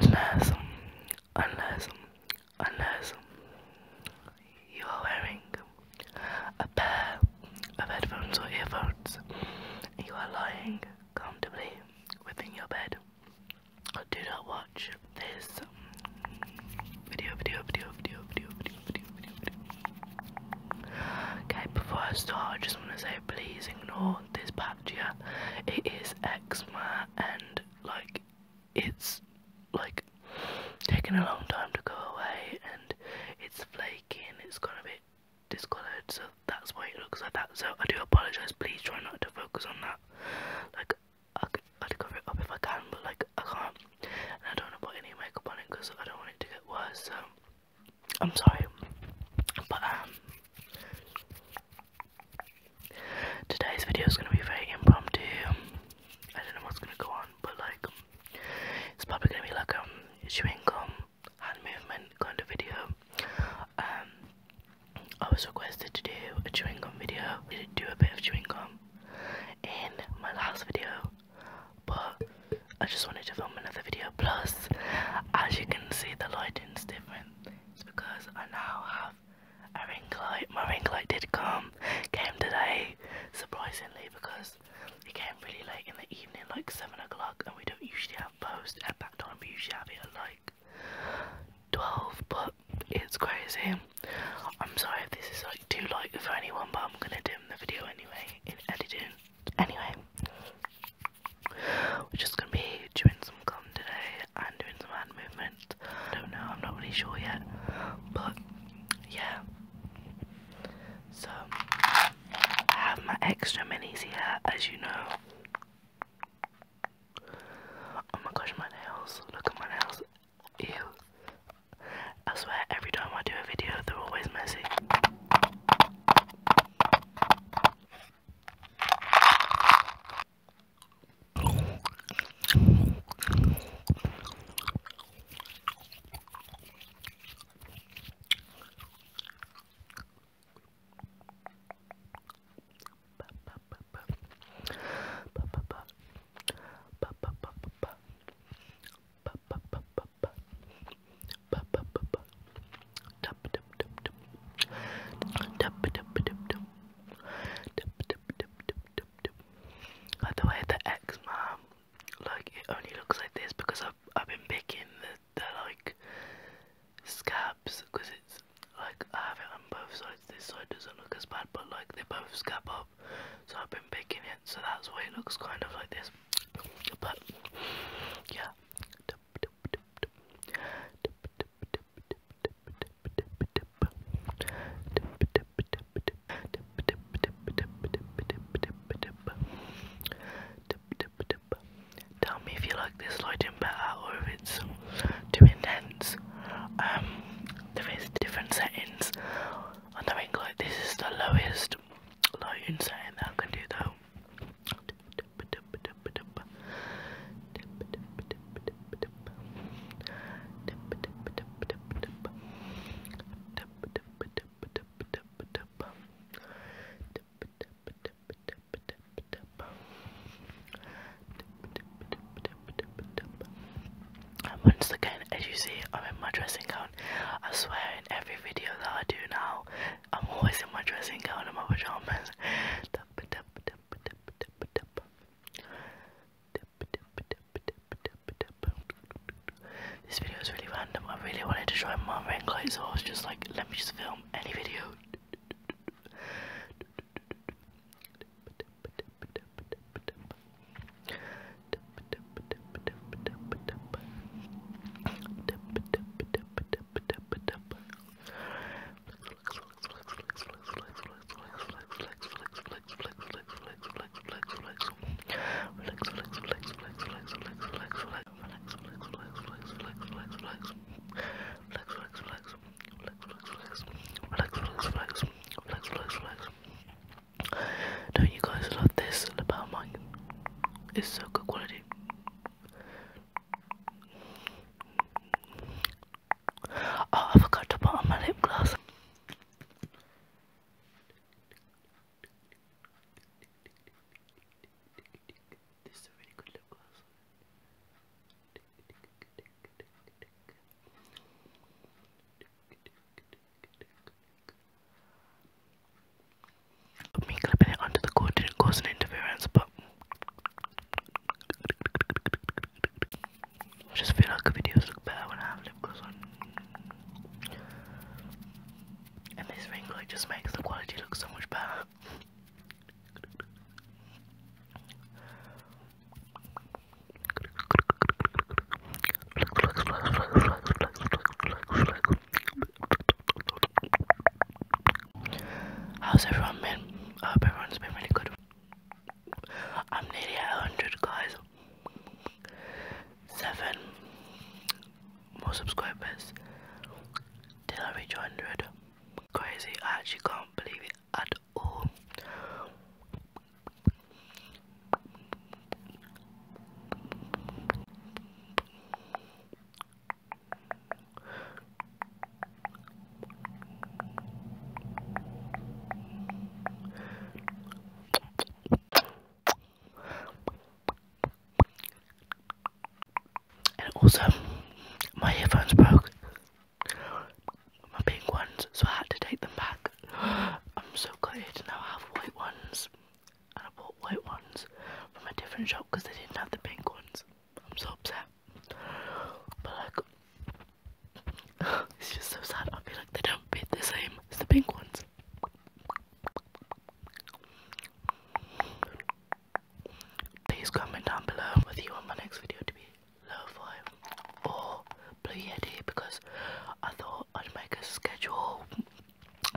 Unless, unless, unless you are wearing a pair of headphones or earphones. You are lying comfortably within your bed. Do not watch this video, video, video, video, video, video, video, video, video. Okay, before I start, I just want to say please ignore this patchy. here. It is eczema and like it's like taking a long time to go away and it's flaking, It's gonna be discolored so that's why it looks like that so i do apologize please try not to focus on that like i could, I'd cover it up if i can but like i can't and i don't want to put any makeup on it because i don't want it to get worse so i'm sorry but um today's video is going to be very impromptu i don't know what's going to go on but like it's probably gonna be like um chewing gum hand movement kind of video. Um, I was requested to do a chewing gum video. I did do a bit of chewing gum in my last video, but I just wanted to film another video. Plus, as you can see, the lighting's different. It's because I now have a ring light. My ring light did come, came today, surprisingly, because it came really late in the evening, like 7 o'clock, and we don't usually have posts at that time, we usually have it at like 12, but it's crazy. I'm sorry if this is like too light for anyone, but I'm gonna dim the video anyway, in editing. Anyway, we're just gonna be doing some gum today and doing some hand movement. I don't know, I'm not really sure yet, but yeah. So. I have my extra minis here, as you know. Oh my gosh, my nails. Look at my nails. Ew. I swear, every time I do a video, they're always messy. By the way, the ex mom like it only looks like this because I've, I've been picking the, the like scabs because it's like I have it on both sides this side doesn't look as bad but like they both scab up so I've been picking it so that's why it looks kind of like this but yeah Tell me if you like this lighting better or if it's too intense. Um, there is different settings. I think like this is the lowest lighting setting that I can do though. And once again, as you see, I'm in my dressing gown. I swear, in every video that I do now, I'm always in my dressing gown and my pajamas. This video is really random. I really wanted to try my rain so I was just like, let me just film any video. Don't you guys love this lapel mic? It's so good quality. Oh, I forgot to put on my lip gloss. This is a really good lip the cord didn't cause an interference, but I just feel like videos look better when I have lip on. And this ring just makes the quality look so much better. How's everyone been? hope everyone's been really good. I'm nearly at 100, guys seven more subscribers till I reach 100. Crazy, I actually can't believe it at all. And also, my earphones broke. My pink ones, so I had to take them back. I'm so gutted now I have white ones. And I bought white ones from a different shop because they didn't have the pink ones. I'm so upset. But like, it's just so sad. I feel like they don't bid the same as the pink ones. Please comment down below whether you want my next video to be lo-fi or Blue Yeti because I thought I'd make a schedule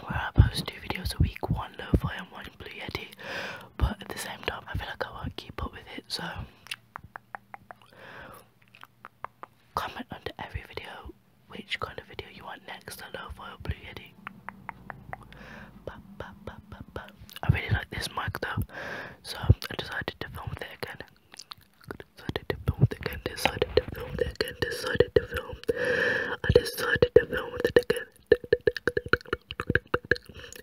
where I post two videos a week, one lo-fi and one Blue Yeti, but at the same time I feel like I won't keep up with it, so Comment under every video which kind of video you want next, a lo-fi blue yeti. I really like this mic though, so I decided to film it again. Decided to film it again, decided to film it again, decided to film. I decided to film it again.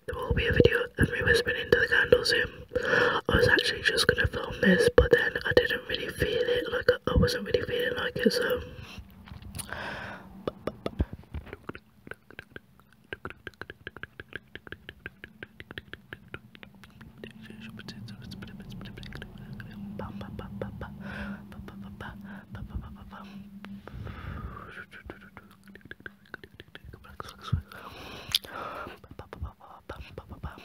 There will be a video of me whispering into the candles soon. I was actually just gonna film this, but then I didn't really feel it. Like I wasn't really feeling like it, so.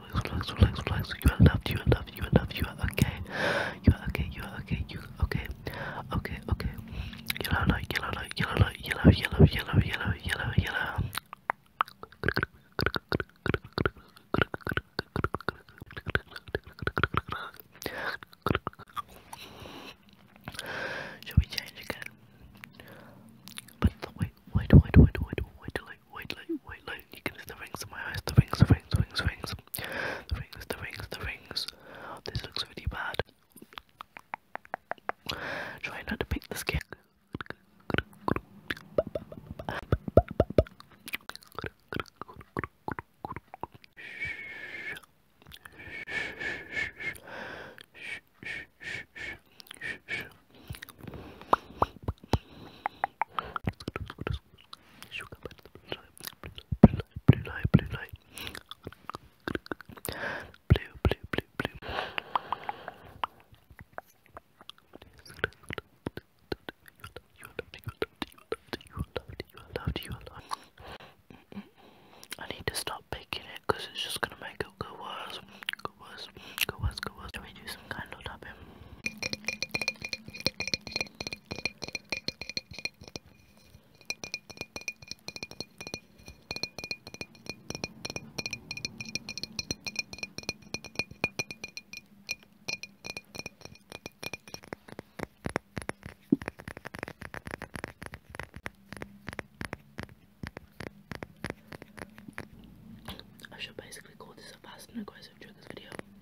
relax, relax, relax. You are loved, you are loved, you are loved, you are okay. You are okay, you are okay, you are okay. Okay, okay. Yellow light, yellow light, yellow light, yellow, yellow, yellow, yellow, yellow, yellow. Shall we change again? But wait, wait, wait, wait, wait, wait, wait, like wait wait you can see the rings on my eyes, the rings, the rings, the rings, the rings, the rings, the rings, the rings. This looks really bad. Try not to pick the skin sugar blue light, blue light, blue, blue, blue, blue. I need to stop picking it because it's just gonna make it go worse, go worse, go worse, go worse. Can we do some kind of I should basically call this a fast and aggressive triggers video.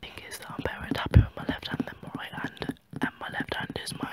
Thing is that I'm very happy with my left hand than my right hand, and my left hand is my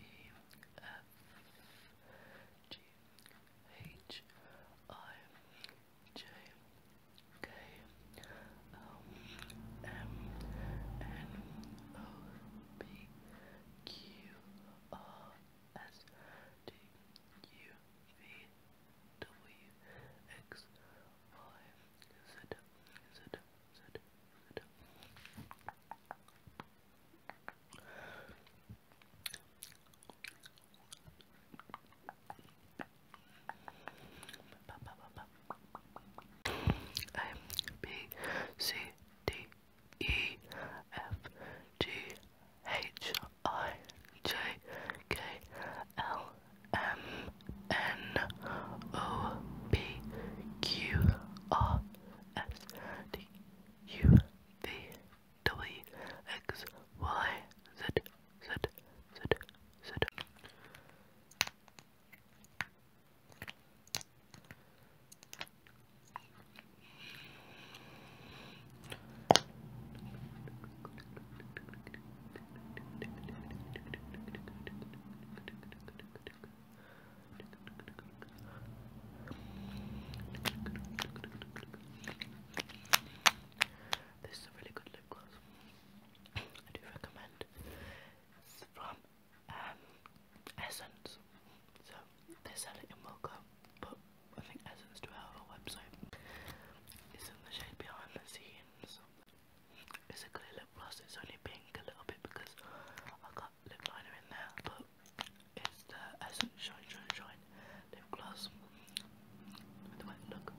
E F G H I J K L M N O P Q R S T U V W X Y Z Z Sit. Sit. A B C D E F G H I J K L M N O P Q R S T U V W X Y Z Z Z Z. This is a really good lip gloss. I do recommend. from um, Essence. So they sell it in Mocha, but I think Essence do have a website. It's in the shade Behind the Scenes. It's a clear lip gloss, it's only pink a little bit because I got lip liner in there, but it's the Essence Shine Shine Shine lip gloss. Look, look, look.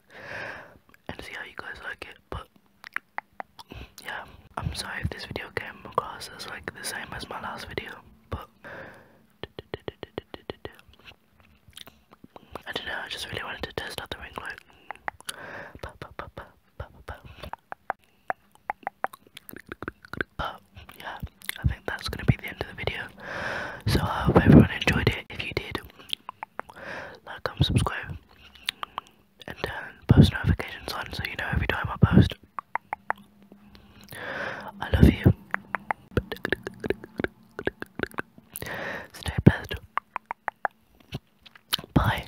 and see how you guys like it. But yeah, I'm sorry if this video came across as like the same as my last video, but I don't know, I just really wanted to test out the ring light. yeah, that's going to be the end of the video. So I hope everyone enjoyed it. If you did, like, comment, subscribe, and turn uh, post notifications on so you know every time I post. I love you. Stay blessed. Bye.